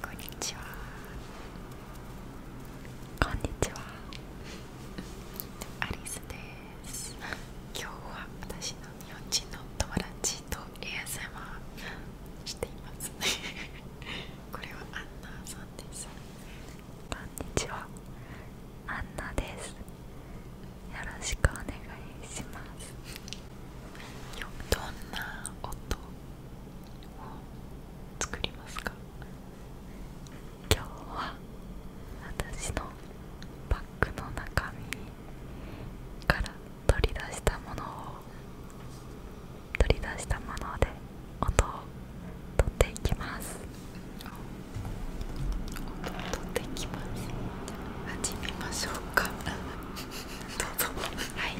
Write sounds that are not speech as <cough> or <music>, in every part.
こんにちはこんにちはアリスです今日は私の日本人の友達と ASMR していますね。これはアンナさんですこんにちはアンナですよろしくお願いしますどんな音を作りますか今日は私のバッグの中身から取り出したものを取り出したもので音を取っていきます音を取っていきます始めましょうかどうぞはい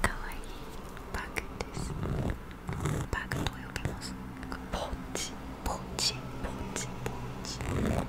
かわいいバッグですバッグと呼びますポーチポーチポーチポーチ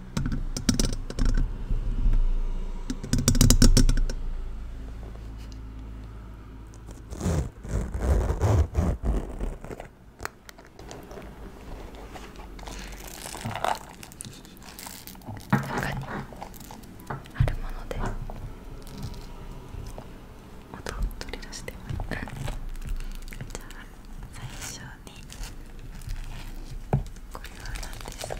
他にあるもので音を取り出してもいいかじゃあ最初にこれは何ですか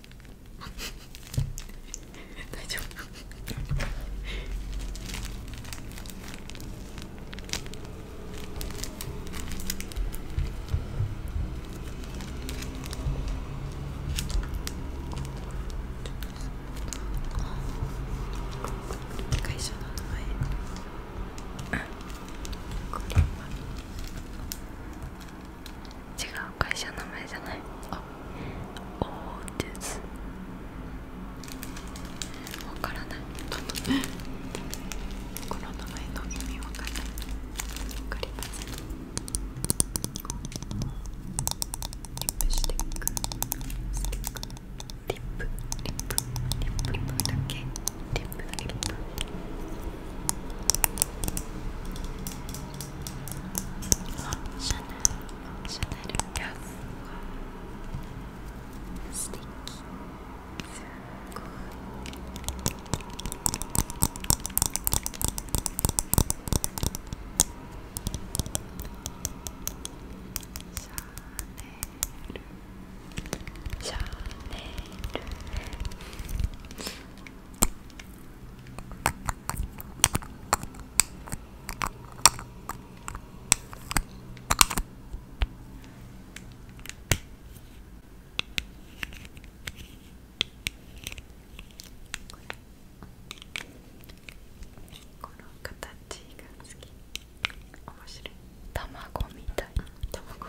<laughs> 大丈夫会社の名前 <laughs> 違う会社の名前じゃないあオーディス分からないこの名前の意味分からない分かりませんリップスティックスティックリップリップリップリップだけリップリップですシャネルシャネルラブスティッキすごいシャネルシャネルこの形が好き面白い卵みたい卵、う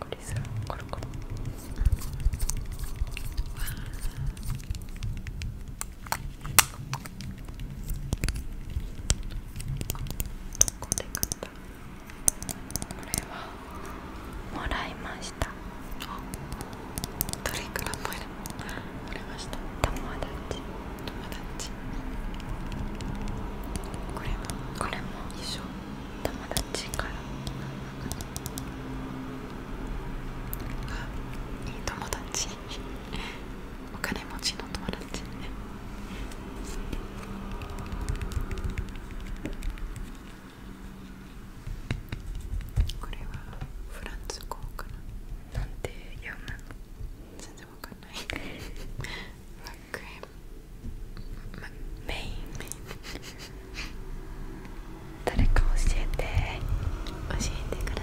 これさコロコロこここれはもらいましたあどれくらいもらいました友達友達これもこれも友達からいい友達お金持ちの友達これはフランス語かななんて読むの全然わかんないラクエムメイメイ誰か教えて教えてください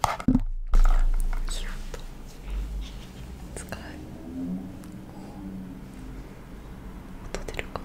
キュッと使う音出るかなこ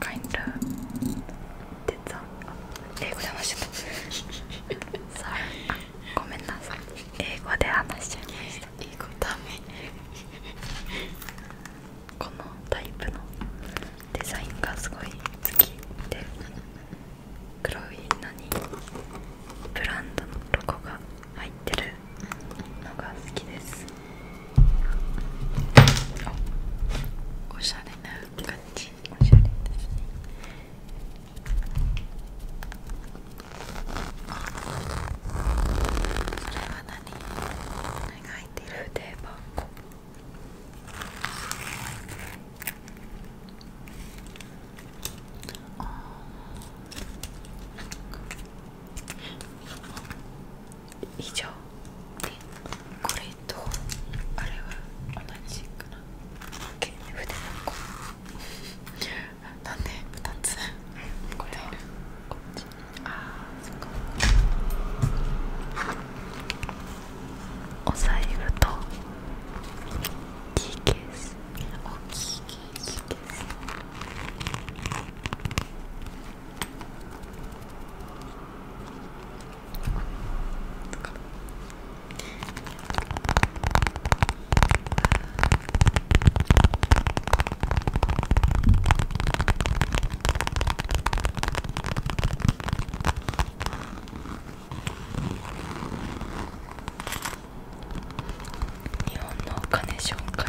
kinda did 英語で話しちゃった。さあ、ごめんなさい。英語で話このタイプのデザインがすごい好きで、黒いのにブランドのロゴが入ってるのが好きです。おしゃれなおしゃれですねそれは何何がい以上でこれとあれは同じかな OK 筆箱なんで2つこれこっちああそっかお財布とキーケース大きいケースです日本のお金紹介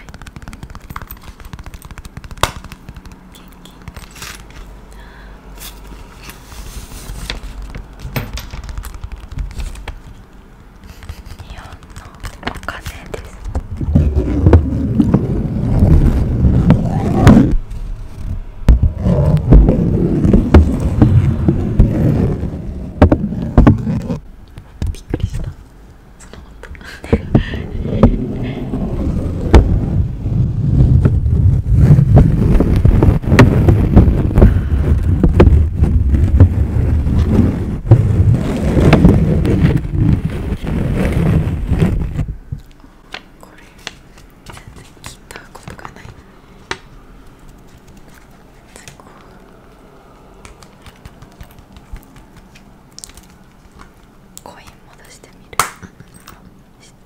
ケーキ日本のお金ですびったこれ全然切ったことがないコイン戻してみる。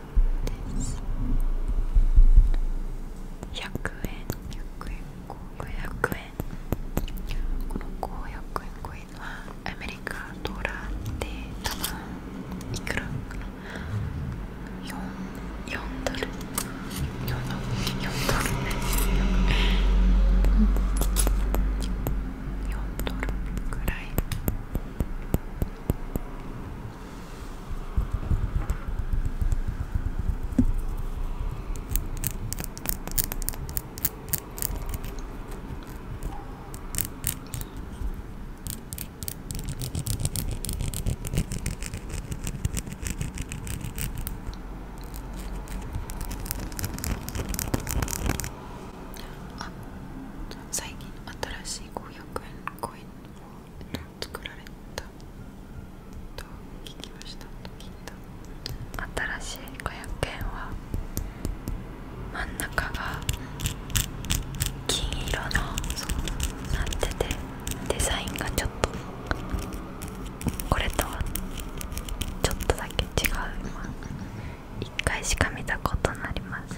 で100円100円500円この500円5円はアメリカドラで多分いくらかな 4, 4ドル4ドル4ドル4ドルぐらいあ最近新しい五百円コイ作られたと聞きましたいた新しい500円は真ん中が金色のなっててデザインがちょっとこれとはちょっとだけ違う今1回しか見たことありません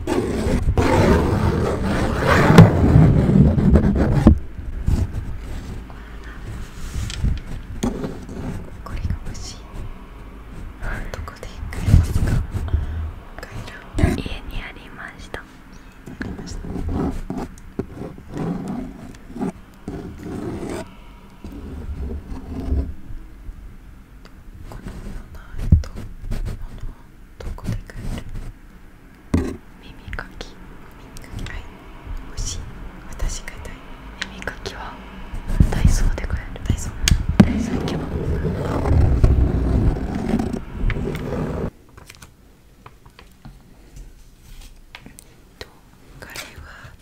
これが欲しいどこで買えますか帰ら家にありましたありましたこの7のっと物をどこで買える耳かき耳かきはい欲しい私がたい耳かきはダイソーで買えるダイソーダイソー行けばと彼は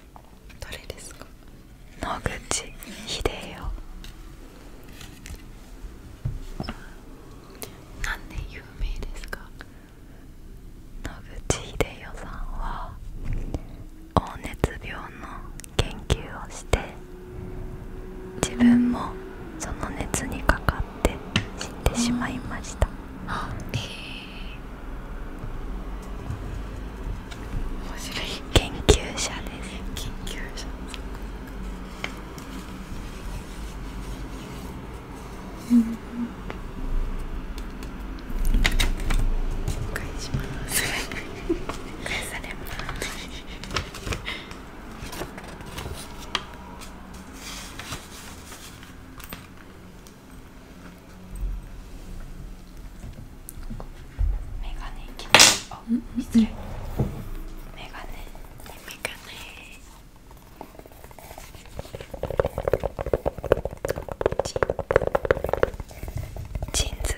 誰ですか野口英世なんで有名ですか野口英世さんは黄熱病の研究をして自分もその熱にかかって死んでしまいました面白い研究者です研究者メガネいきましあ、失礼メガネメガネジンズ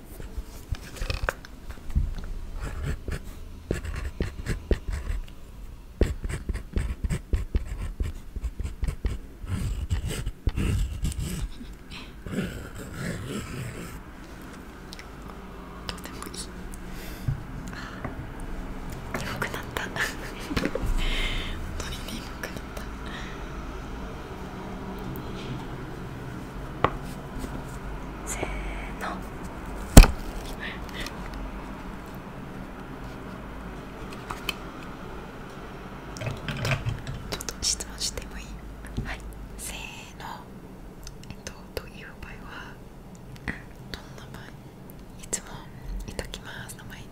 眠くなった本当に眠くなった。せーのちょっと質問してもいいはいせーのえっとという場合はどんな場合いつもいただきますの前に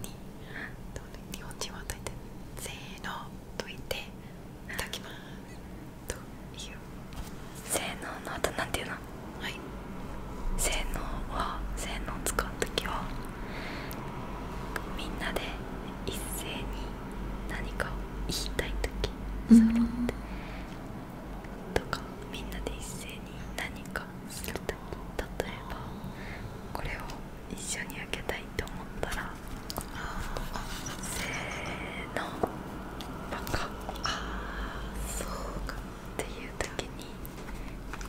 日本人はといて。せーのといていただきますという性能のあとなんていうのはい性能は性能を使う時はみんなで一斉に何かを言いたい時そ揃って、とかみんなで一斉に何かする時例えばこれを一緒に開けたいと思ったらせーのバカああそうかっていう時に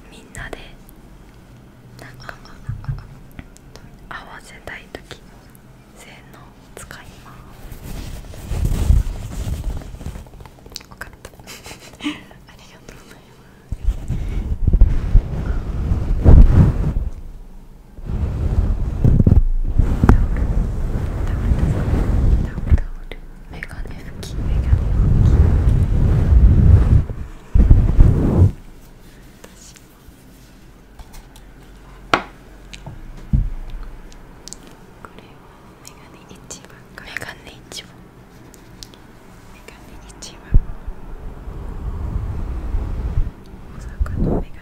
みんなでなんか合わせたい時せーの使いますよかったありがとうございますメガネ拭きメガネ拭き私もこれはメガネ一番かメガネ一番メガネ一番大阪のメガネ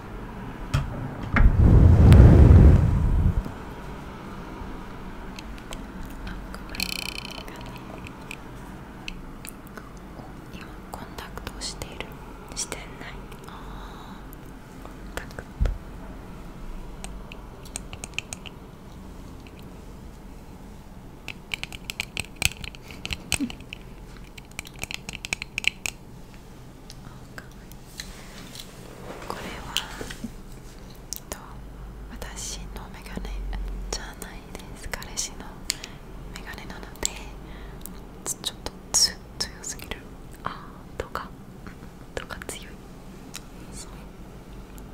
今コンタクトをしているしてないあコンタクトこれはと私のメガネじゃないです彼氏のメガネなのでちょっと強すぎるあーとかとか強いそう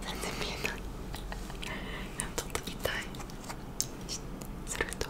全然見えないちょっとたいすると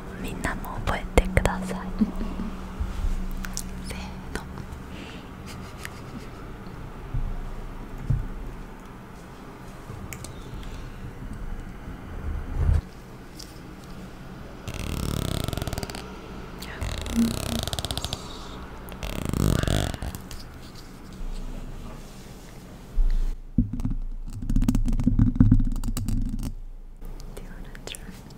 みんなも覚えてください <laughs> せーの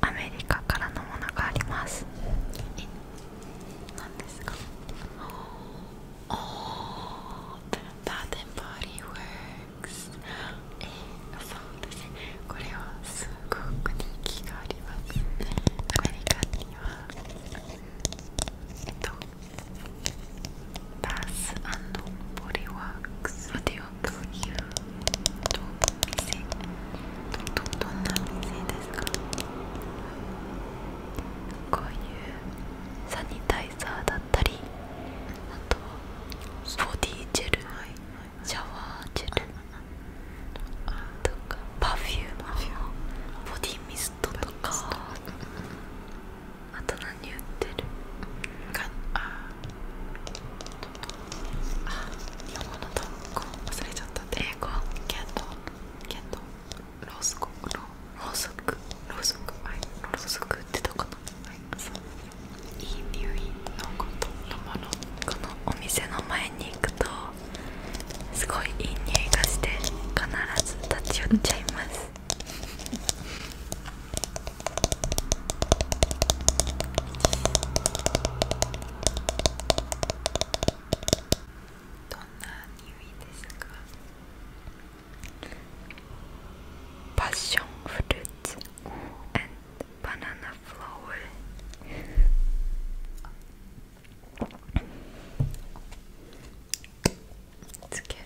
アメリカからのものがありますえ何ですかおー、バーデンボディーワークスえそうですねこれはすごく人気がありますアメリカにはバスボディワークスどんな店ですかこういうサニタイザーだったりあとボディジェル、シャワージェルとかパフューマムボディミスとかあと何売ってるかああああ、日本語の単語忘れちゃった英語キャットキャットローソクローソクローソクはいローソクってとこのはいそういい匂いのことのものこのお店の前に行くとすごいいい匂いがして必ず立ち寄っちゃいますどんな匂いですかパッションフルーツ and banana flower つける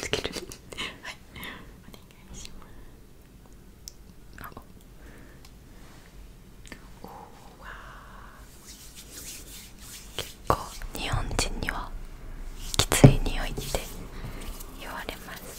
つけるはいお願いしますおおわ結構日本人にはきつい匂いって言われます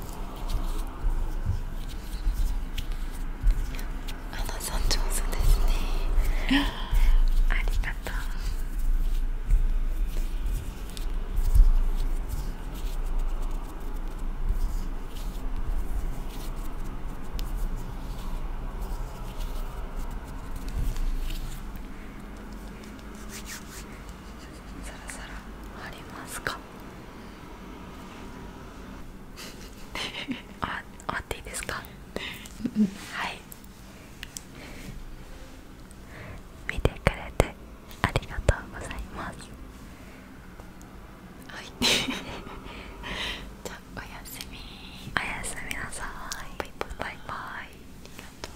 アナさん上手ですねありがとうサラサラありますか <laughs> ああっていいですかはい見てくれてありがとうございますはい <laughs> じゃあおやすみおやすみなさいバイバイバイありがとう